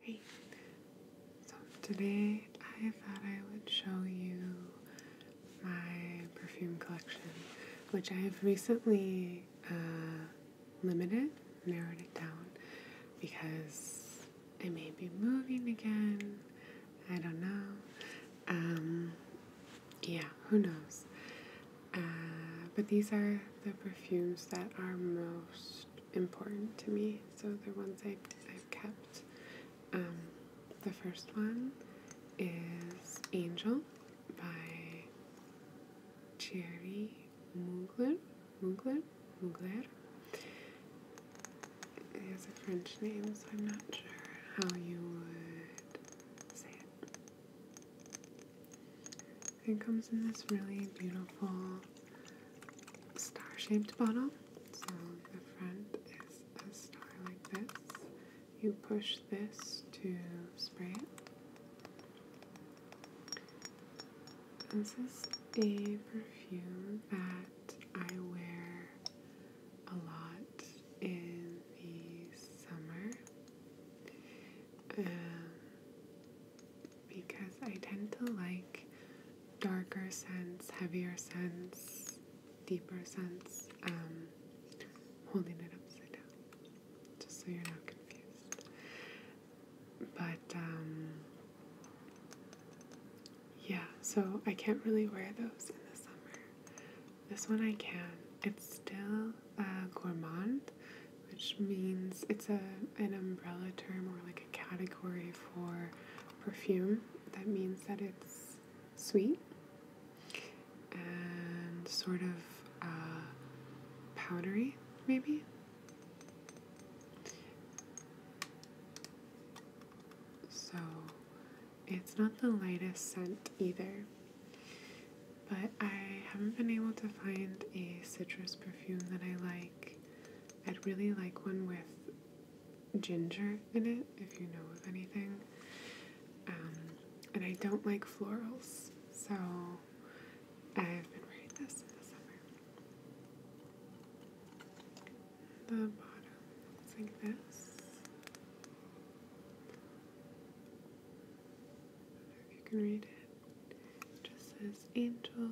Hey, so today I thought I would show you my perfume collection, which I have recently uh, limited, narrowed it down, because I may be moving again. I don't know. Um, yeah, who knows? Uh, but these are the perfumes that are most important to me, so they're ones I've, I've kept. Um, the first one is Angel by Jerry Mugler. Mugler? Mugler? It has a French name, so I'm not sure how you would say it. It comes in this really beautiful star shaped bottle. So the front is a star like this. You push this to spray it. This is a perfume that I wear a lot in the summer because I tend to like darker scents, heavier scents, deeper scents. Um, holding it upside down, just so you're not confused. But um, yeah, so I can't really wear those in the summer. This one I can. It's still a uh, gourmand, which means it's a an umbrella term or like a category for perfume. That means that it's sweet and sort of uh, powdery, maybe. So it's not the lightest scent either. But I haven't been able to find a citrus perfume that I like. I'd really like one with ginger in it, if you know of anything. Um, and I don't like florals, so I've been wearing this in the summer. The bottom like this you can read it. just says Angel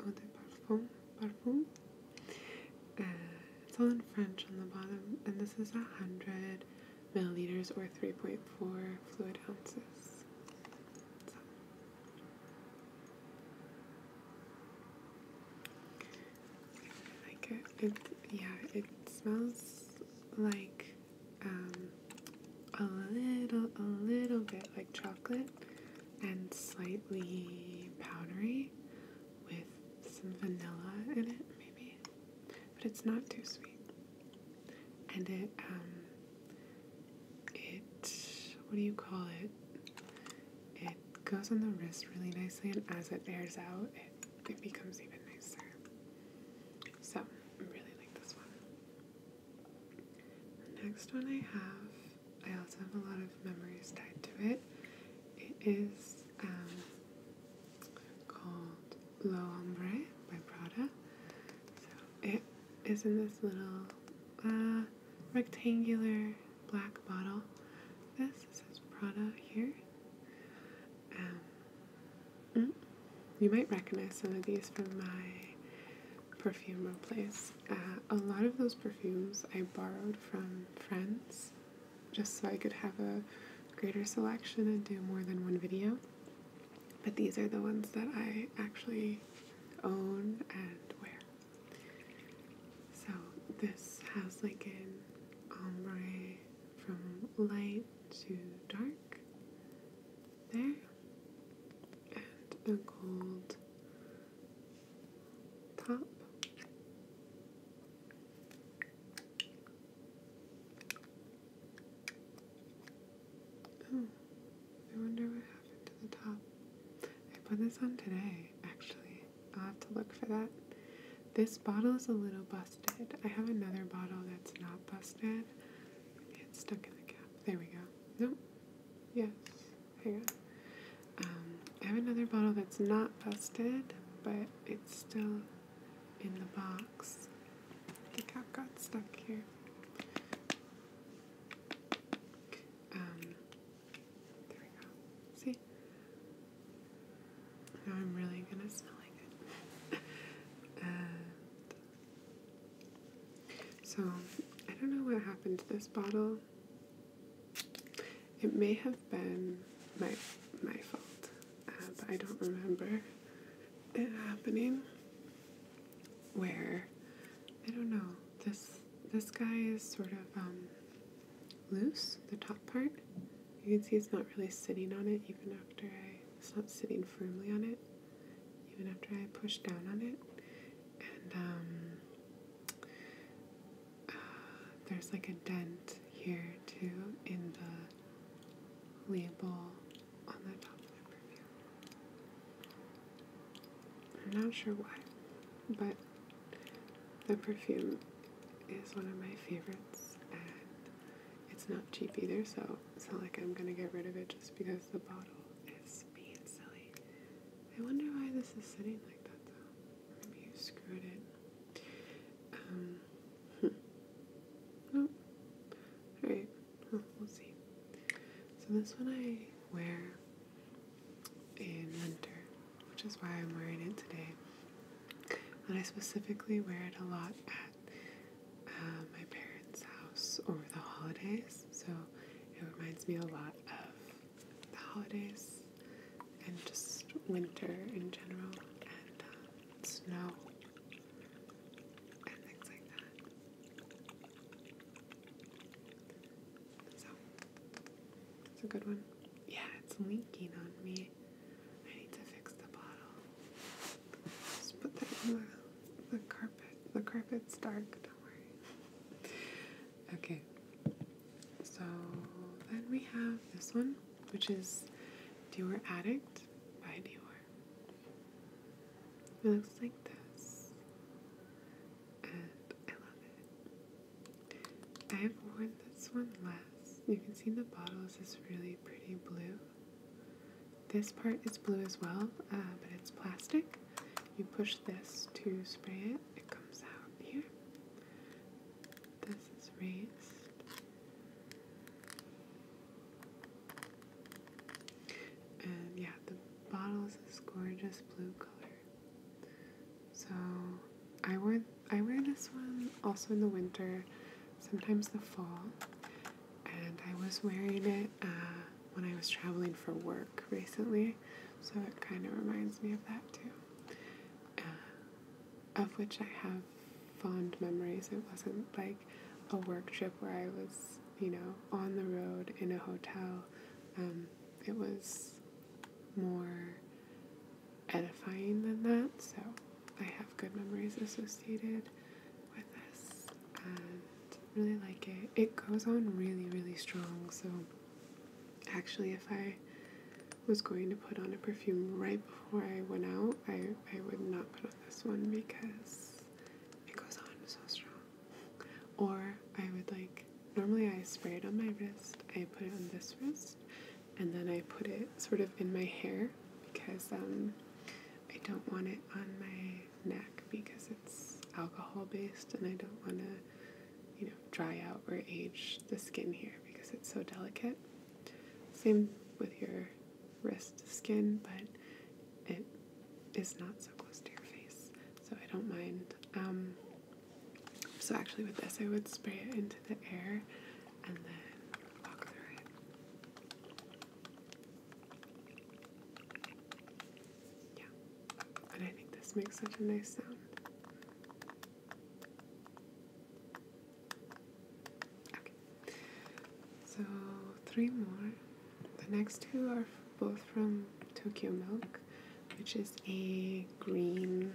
Eau de Parfum. Parfum. Uh, it's all in French on the bottom, and this is 100 milliliters or 3.4 fluid ounces. I like it. Yeah, it smells like um, a little, a little bit like chocolate and slightly powdery with some vanilla in it, maybe. But it's not too sweet. And it, um, it, what do you call it? It goes on the wrist really nicely, and as it airs out, it, it becomes even nicer. So I really like this one. next one I have, I also have a lot of memories tied to it. It is um, called Lo Hombre by Prada. So it is in this little uh, rectangular black bottle. This is Prada here. Um, mm, you might recognize some of these from my perfume place. Uh, a lot of those perfumes I borrowed from friends just so I could have a greater selection and do more than one video. But these are the ones that I actually own and wear. So this has like an ombre from light too dark there, and the gold top. Oh, I wonder what happened to the top. I put this on today, actually. I'll have to look for that. This bottle is a little busted. I have another bottle that's not busted. It's stuck in the cap. There we go. Nope. Yes. Hang on. Um, I have another bottle that's not busted, but it's still in the box. The cap got stuck here. Um, there we go. See? I'm really gonna smell like it. so I don't know what happened to this bottle. It may have been my my fault, uh, but I don't remember it happening. Where I don't know this this guy is sort of um, loose, the top part. You can see it's not really sitting on it even after I, it's not sitting firmly on it even after I push down on it. And um, uh, there's like a dent here too in the label on the top of the perfume. I'm not sure why, but the perfume is one of my favorites, and it's not cheap either, so it's not like I'm gonna get rid of it just because the bottle is being silly. I wonder why this is sitting like that though. Maybe you screwed it. Um, hmm. Nope. Alright, we'll see. So this one I wear in winter, which is why I'm wearing it today. And I specifically wear it a lot at uh, my parents' house over the holidays, so it reminds me a lot of the holidays and just winter in general and uh, snow and things like that. So, it's a good one. Yeah, it's leaking on me. I need to fix the bottle. Just put that in the, the carpet. The carpet's dark, don't worry. Okay. So then we have this one, which is Dior Addict by Dior. It looks like this. And I love it. I have worn this one less. You can see the bottle is this really pretty blue. This part is blue as well, uh, but it's plastic. You push this to spray it, it comes out here. This is raised. And yeah, the bottle is this gorgeous blue color. So I wear I wear this one also in the winter, sometimes the fall. And I was wearing it uh, when I was traveling for work recently, so it kind of reminds me of that too. Uh, of which I have fond memories. It wasn't like a work trip where I was, you know, on the road in a hotel. Um, it was more edifying than that. So I have good memories associated with this and really like it. It goes on really, really strong. So actually, if I was going to put on a perfume right before I went out, I, I would not put on this one because it goes on so strong. Or I would like, normally I spray it on my wrist, I put it on this wrist, and then I put it sort of in my hair because um, I don't want it on my neck because it's alcohol based and I don't want to, you know, dry out or age the skin here because it's so delicate. Same with your wrist skin, but it is not so close to your face, so I don't mind. Um, so actually, with this, I would spray it into the air and then walk through it. Yeah, and I think this makes such a nice sound. Okay, so three more. The next two are both from Tokyo Milk, which is a green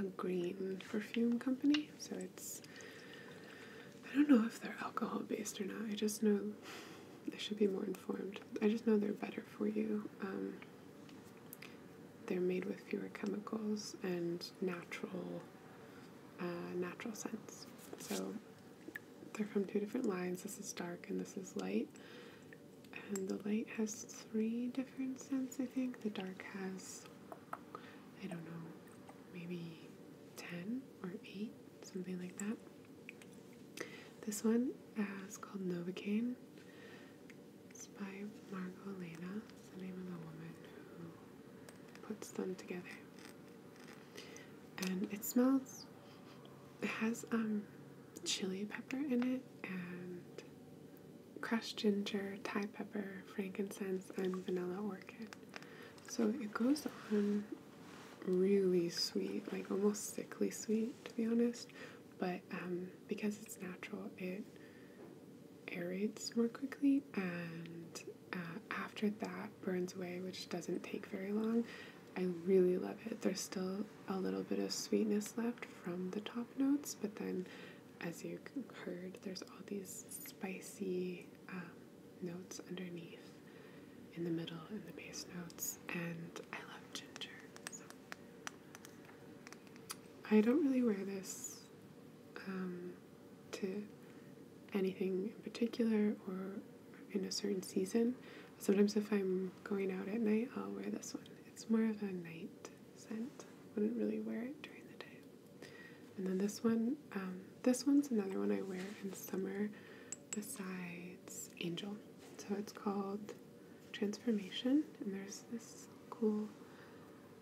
a green perfume company. So it's I don't know if they're alcohol based or not. I just know I should be more informed. I just know they're better for you. Um, they're made with fewer chemicals and natural uh, natural scents. So they're from two different lines. This is dark and this is light. And the light has three different scents, I think. The dark has, I don't know, maybe 10 or 8, something like that. This one uh, is called Novocaine. It's by Margot Elena. It's the name of the woman who puts them together and it smells. It has um, chili pepper in it and crushed ginger, Thai pepper, frankincense, and vanilla orchid. So it goes on really sweet, like almost sickly sweet, to be honest. But um, because it's natural, it aerates more quickly and uh, after that burns away, which doesn't take very long, I really love it. There's still a little bit of sweetness left from the top notes, but then as you heard, there's all these spicy um, notes underneath, in the middle, in the base notes, and I love ginger. So. I don't really wear this um, to anything in particular or in a certain season. Sometimes if I'm going out at night, I'll wear this one. It's more of a night scent. Wouldn't really wear it during the day. And then this one, um, this one's another one I wear in summer besides Angel. So it's called Transformation, and there's this cool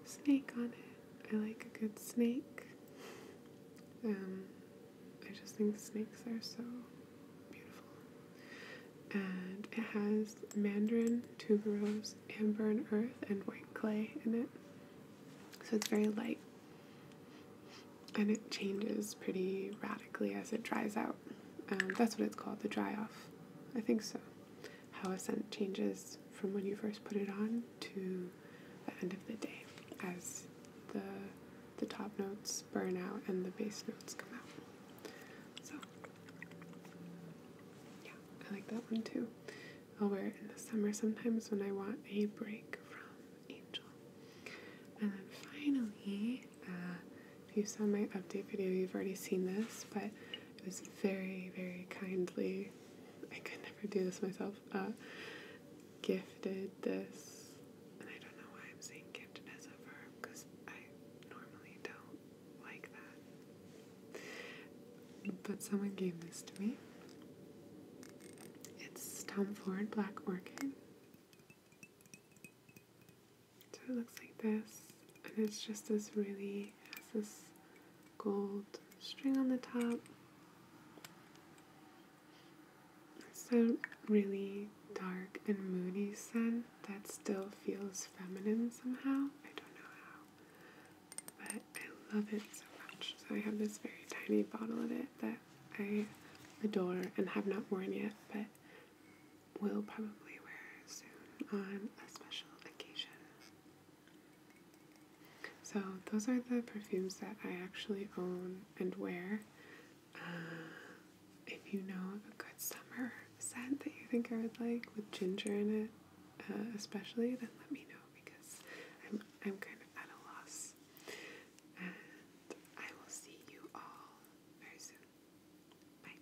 snake on it. I like a good snake. Um, I just think snakes are so beautiful. And it has mandarin, tuberose, amber and earth, and white clay in it. So it's very light. And it changes pretty radically as it dries out. Um, that's what it's called, the dry off. I think so how a scent changes from when you first put it on to the end of the day as the the top notes burn out and the base notes come out. So yeah, I like that one too. I'll wear it in the summer sometimes when I want a break from Angel. And then finally, uh, if you saw my update video, you've already seen this, but it was very, very kindly I could never do this myself. Uh, gifted this, and I don't know why I'm saying gifted as a verb because I normally don't like that. But someone gave this to me. It's Tom Ford Black Orchid. So it looks like this and it's just this really has this gold string on the top. It's a really dark and moody scent that still feels feminine somehow. I don't know how, but I love it so much. So I have this very tiny bottle of it that I adore and have not worn yet, but will probably wear soon on a special occasion. So, those are the perfumes that I actually own and wear. Uh, if you know a good summer scent that you think I would like with ginger in it, uh, especially, then let me know because I'm, I'm kind of at a loss. And I will see you all very soon. Bye.